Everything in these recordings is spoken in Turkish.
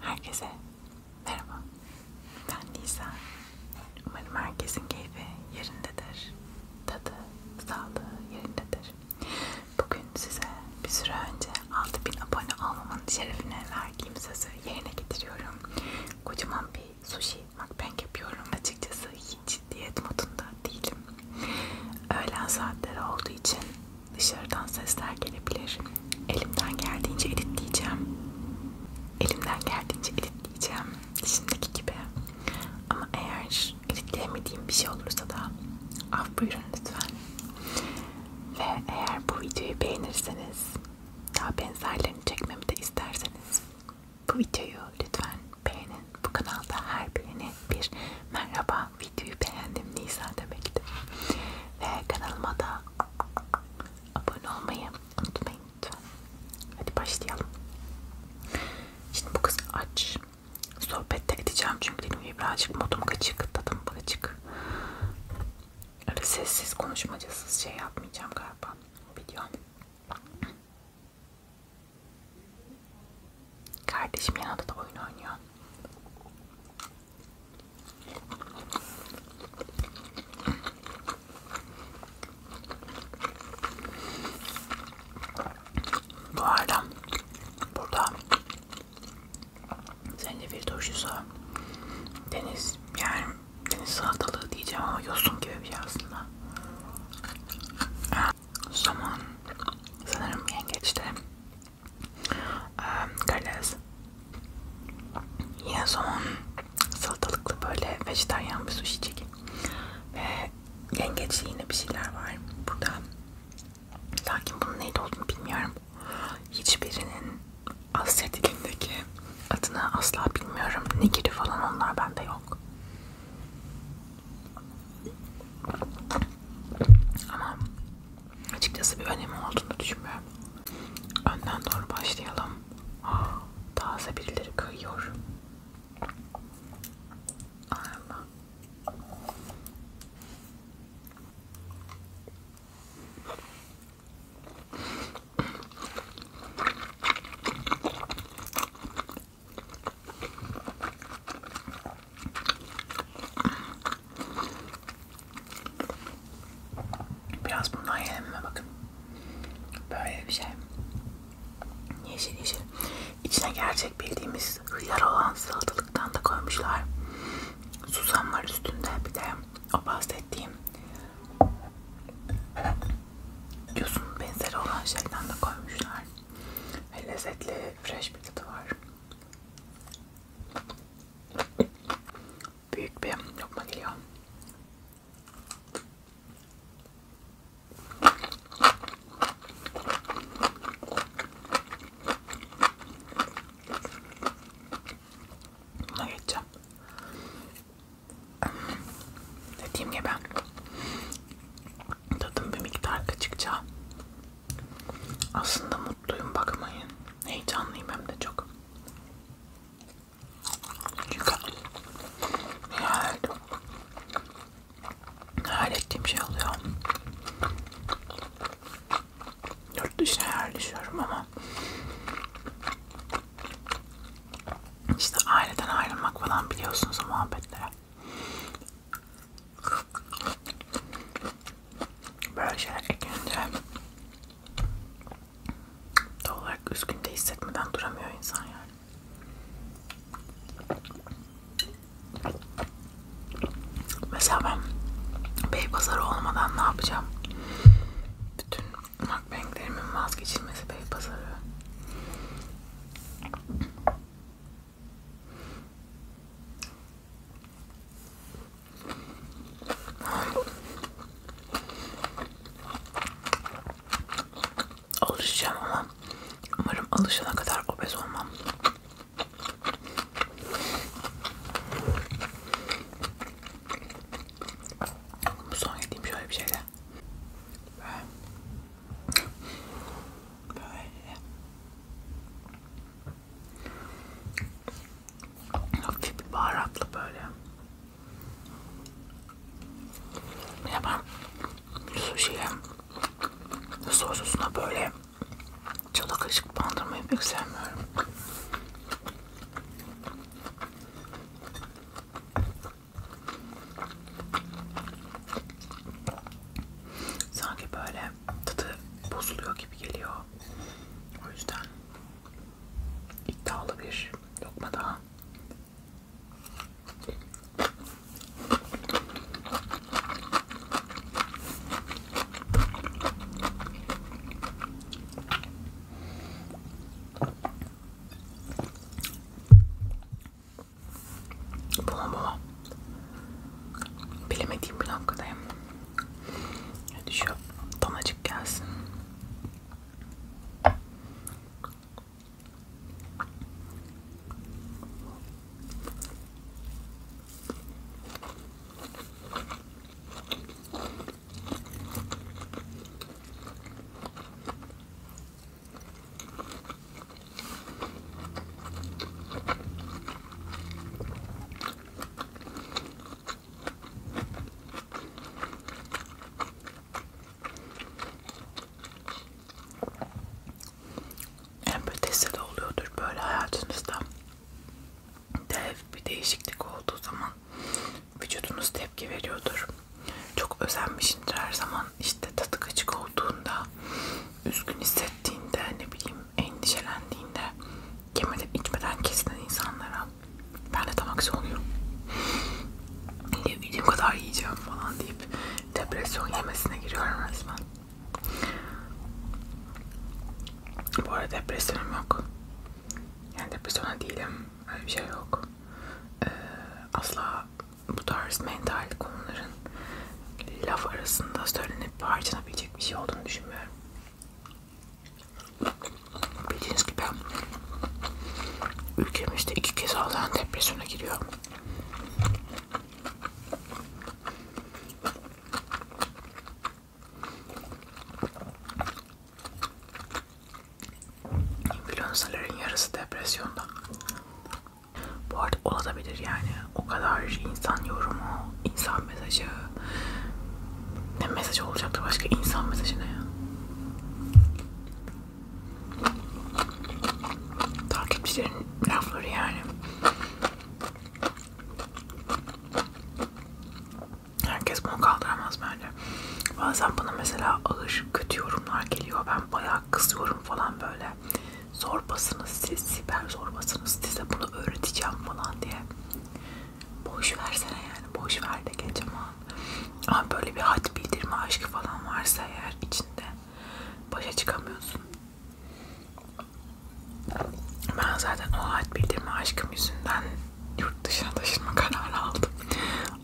Herkese merhaba. Ben Nisa. Umarım herkesin keyfi yerindedir. Tadı, sağlığı yerindedir. Bugün size bir süre önce 6000 abone olmamın şerefine verdiğim sözü yerine getiriyorum. Kocaman bir sushi mukbang yapıyorum. Açıkçası hiç diyet modunda değilim. Öğlen saatleri olduğu için Dışarıdan sesler gelebilir. Elimden geldiğince editleyeceğim. Elimden geldiğince editleyeceğim. Şimdiki gibi. Ama eğer editleyemediğim bir şey olursa da af buyurun lütfen. Ve eğer bu videoyu beğenirseniz daha benzerlerini çekmemi de isterseniz bu videoyu lütfen beğenin. Bu kanalda her beğeni bir merhaba videoyu beğendim Nisa demektir. Ve kanalıma da abone olmayı unutmayın lütfen. Hadi başlayalım. Şimdi bu kız aç. Sohbette edeceğim çünkü dedim ki birazcık modum kaçık, tadım kaçık. Öyle sessiz konuşmacasız şey yapmayacağım galiba video. Kardeşim yanında da oyun oynuyor. Bu arada burada zencefil turşusu deniz yani deniz salatalığı diyeceğim ama yosun gibi bir şey aslında. Ee, o zaman sanırım yengeçte Karides. Yine somon salatalıklı böyle vejetaryen bir sushi çekim. Ve yengeçli yine bir şeyler var burada. Lakin bunun neydi olduğunu bilmiyorum. Hiçbirinin Asya dilindeki adını asla bilmiyorum. Nigiri falan onlar bende yok. Ama açıkçası bir önemi olduğunu düşünmüyorum. Önden doğru başlayalım. Ah, taze birileri kayıyor. Ay Allah. Biraz bundan yiyelim mi? Bakın. Böyle bir şey. Yeşil yeşil. İçine gerçek bildiğimiz hıyar olan salatalıktan da koymuşlar. Susam var üstünde. Bir de o bahsettiğim yosun benzeri olan şeyden de koymuşlar. Ve lezzetli fresh bir tadı var. Büyük bir lokma geliyor. Buna geçeceğim. Dediğim gibi tadım bir miktar kaçıkça aslında mutluyum bakmayın. Heyecanlıyım hem de çok. Çünkü hayal, hayal ettiğim şey oluyor. Yurt dışına yerleşiyorum ama işte aileden ayrılmak falan biliyorsunuz o muhabbetlere. Böyle şeyler ekleyince doğal olarak üzgün de hissetmeden duramıyor insan yani. Mesela ben Beypazarı olmadan ne yapacağım? Bütün mukbanglerimin vazgeçilmesi Beypazarı. Alışacağım ama umarım alışana kadar obez olmam. Bu son yediğim şöyle bir şeyle. Böyle. Hafif baharatlı böyle. Ya ben sushi'ye sosuna böyle çalı kaşık bandırmayı pek sevmiyorum. Sanki böyle tadı bozuluyor gibi geliyor. O yüzden iddialı bir lokma daha. Bula bula. Bilemediğim bir noktadayım. Hadi şu donacık gelsin. En ötesi de oluyordur böyle hayatınızda. Dev bir değişiklik olduğu zaman vücudunuz tepki veriyordur. Çok özenmişindir her zaman işte tadı kaçık olduğunda üzgün hissettiğinde, ne bileyim endişelendiğinde yemeden içmeden kesilen insanlara ben de tam aksi oluyorum. Yiyebildiğim kadar yiyeceğim falan deyip depresyon yemesine giriyorum resmen. Bu arada depresyonum yok. Yani depresyona değilim. Öyle bir şey yok. Ee, asla bu tarz mental konuların laf arasında söylenip harcanabilecek bir şey olduğunu düşünmüyorum. Bildiğiniz gibi ülkemizde iki kez ağlayan depresyona giriyor. Influencerların yarısı depresyonda. Bu arada olabilir yani. O kadar insan yorumu, insan mesajı. Ne mesaj olacaktı başka insan mesajı ne ya? Takipçilerin lafları yani. Herkes bunu kaldıramaz bence. Bazen bana mesela ağır kötü yorumlar geliyor. Ben bayağı bayağı kızıyorum falan böyle. Zorbasınız siz, siber zorbasınız size bunu öğreteceğim falan diye. Boş versene yani, boş ver de geç aman. Ama böyle bir had bildirme aşkı falan varsa eğer içinde başa çıkamıyorsun. Ben zaten o had bildirme aşkım yüzünden yurt dışına taşınma kararı aldım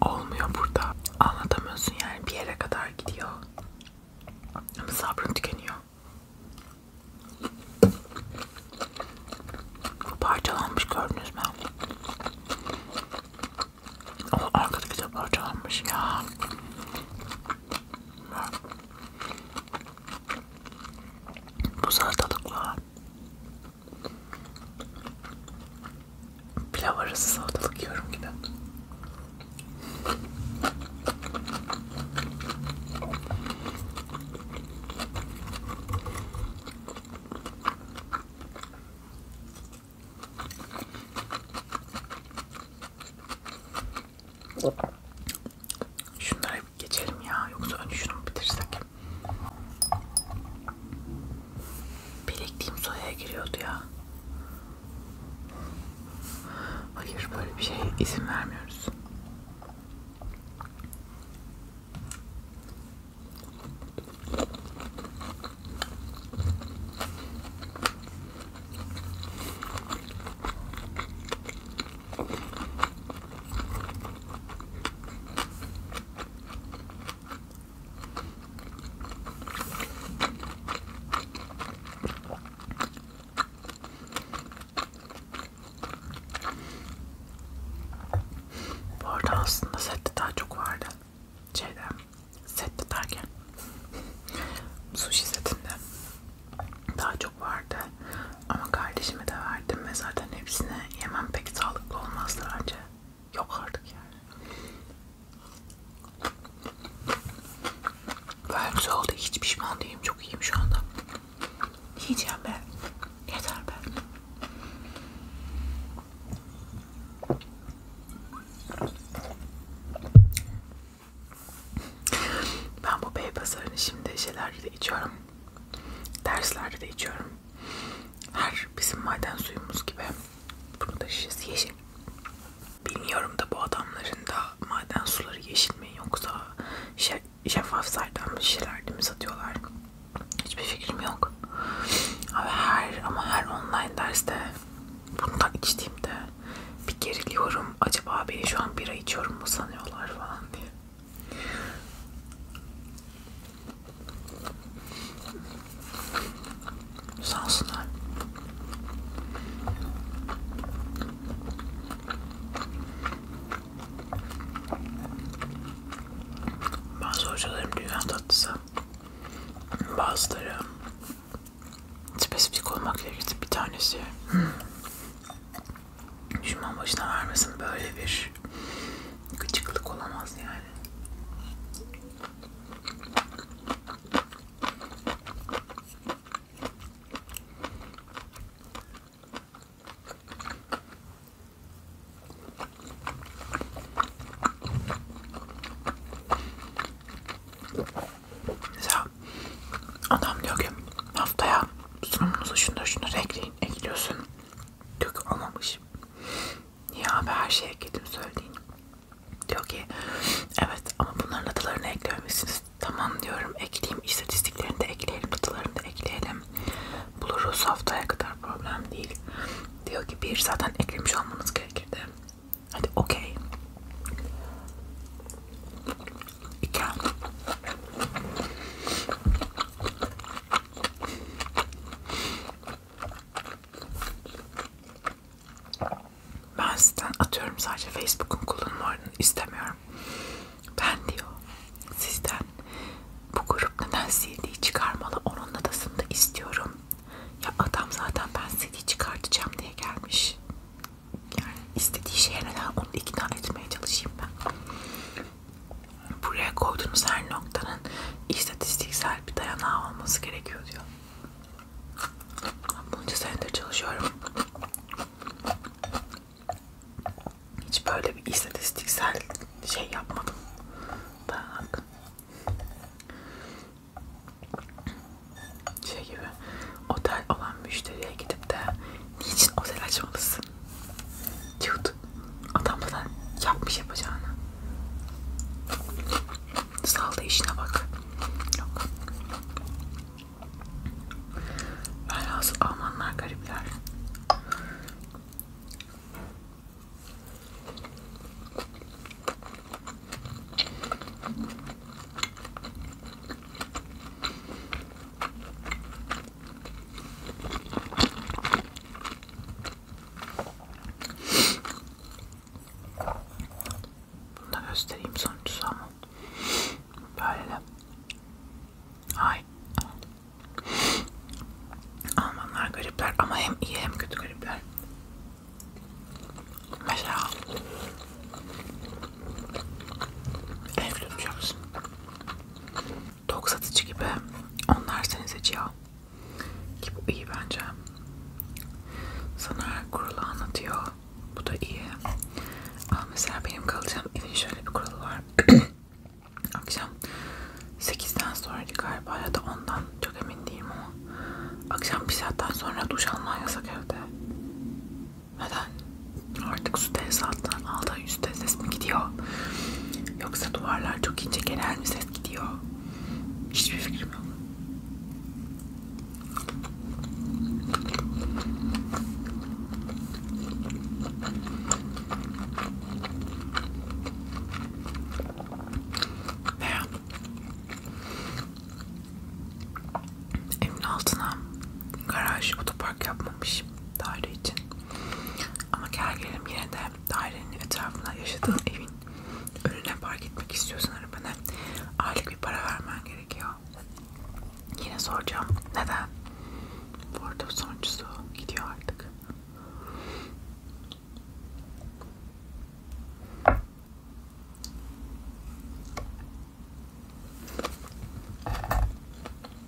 olmuyor burada. Anlatamıyorsun yani bir yere kadar gidiyor. Ama sabrın tükeniyor. Bu parçalanmış gördünüz mü? O arkadaki de parçalanmış ya. Bu salatalıkla pilav arası salatalık yiyorum gibi. Şunlara bir geçelim ya. Yoksa önce şunu bitirsek. Bilekliğim soyaya giriyordu ya. Hayır böyle bir şey izin vermiyoruz. Bu arada aslında sette daha çok vardı. Şeyden, sette derken sushi setinde daha çok vardı. Ama kardeşime de verdim ve zaten hepsini yemem pek sağlıklı olmazdı bence. Yok artık yani. Böyle güzel oldu. Hiç pişman değilim. Çok iyiyim şu anda. Yiyeceğim ben. Yeter ben. Ben bu bey pazarını şimdi şeylerde de içiyorum. Derslerde de içiyorum. Her bizim maden suyumuz gibi. Bunu da şişesi yeşil. Bilmiyorum da bu adamların da maden suları yeşil mi yoksa şef, şeffaf saydam şişelerde mi satıyorlar? Hiçbir fikrim yok. Ama her, ama her online derste bundan içtiğimde bir geriliyorum. Acaba beni şu an bira içiyorum mu sanıyorlar falan diye. Sansınlar. Bazı hocalarım dünya tatlısı. Bazıları spesifik olmak gerekti. Bir tanesi düşman hmm. başına vermesin böyle bir gıcıklık olamaz yani. Mesela adam diyor ki haftaya sunumunuzu şunları şunları ekleyin ekliyorsun. Diyor ki olmamış. Niye abi her şeye ekledim söylediğini. Diyor ki evet ama bunların adılarını eklememişsiniz. Tamam diyorum ekleyeyim istatistiklerini de ekleyelim adılarını da ekleyelim. Buluruz haftaya kadar problem değil. Diyor ki bir zaten eklemiş olmanız gerekirdi. Hadi okey. İki. Ben sizden atıyorum sadece Facebook'un kullanımlarını istemiyorum. Ben diyor sizden bu grup neden CD çıkarmalı onun adasını da istiyorum. Ya adam zaten ben CD çıkartacağım diye gelmiş. Yani istediği şeye neden onu ikna etmeye çalışayım ben buraya koyduğunuz her noktanın istatistiksel bir dayanağı olması gerekiyor diyor. Bunca senedir çalışıyorum. Hiç böyle bir istatistiksel şey yapmadım. Dayanak. Şey gibi otel olan müşteriye gidip de niçin otel açmalısın? Cık yapıyordu. Adam da yapmış yapacağını. Salda işine bak. Yok. Velhasıl Almanlar garipler. Bunu da göstereyim sonuçta ama böyle de. Ay. Almanlar garipler ama hem iyi hem kötü garipler. Mesela ev tutacaksın. Tok satıcı gibi. Onlar seni seçiyor. Ki bu iyi bence. Sana kuralı anlatıyor. Bu da iyi. Ama mesela benim kalacağım evin şöyle bir kuralı var. Akşam 8'den sonraydı galiba ya da ondan çok emin değilim ama akşam bir saatten sonra duş alman yasak evde. Neden? Artık su tesisattan aldı yoksa üstte ses mi gidiyor? Yoksa duvarlar çok ince genel mi ses gidiyor? Hiçbir fikrim yok. Ve evin altına garaj, otopark yapmamış daire için. Ama gel gelelim yine de dairenin etrafına yaşadığın evin önüne park etmek istiyorsan arabanı aylık bir para vermen gerekiyor. Yine soracağım. Neden? Bu arada sonuncusu gidiyor artık.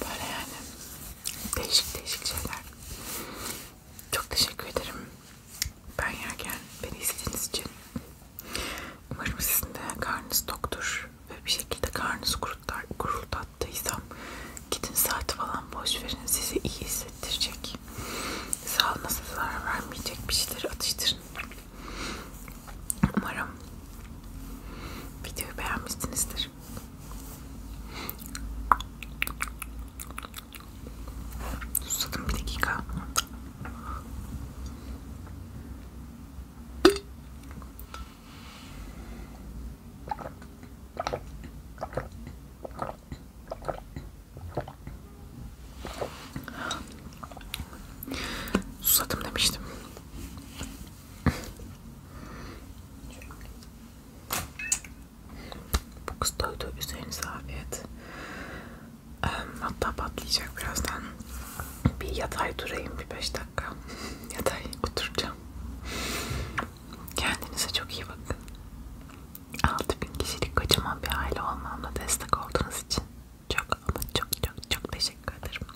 Böyle yani değişik değişik şeyler. Çok teşekkür ederim. Ben yerken beni izlediğiniz için. Umarım sizin de karnınız toktur ve bir şekilde karnınızı kurutlar, kurultattıysam gidin saat falan boş verin. Sizi iyi hissettirecek. Sağlığınıza zarar vermeyecek bir şeyleri atıştırın. Umarım videoyu beğenmişsinizdir. Susadım bir dakika. Susadım demiştim. Bu kız doydu. Üzerinize afiyet. Ehm, hatta patlayacak birazdan. Bir yatay durayım bir 5 dakika. yatay oturacağım. Kendinize çok iyi bakın. 6000 kişilik kocaman bir aile olmamla destek olduğunuz için çok ama çok çok çok teşekkür ederim.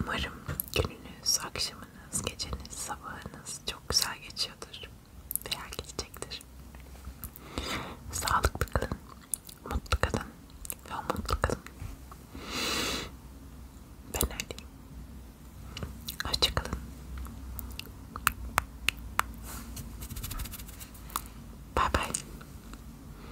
Umarım gününüz, akşamınız, geceniz, sabahınız çok güzel geçiyordur veya geçecektir. Sağlıklı kalın, mutlu kalın ve mutlu kalın. Ben öyleyim. Hoşça kalın. Bye bye.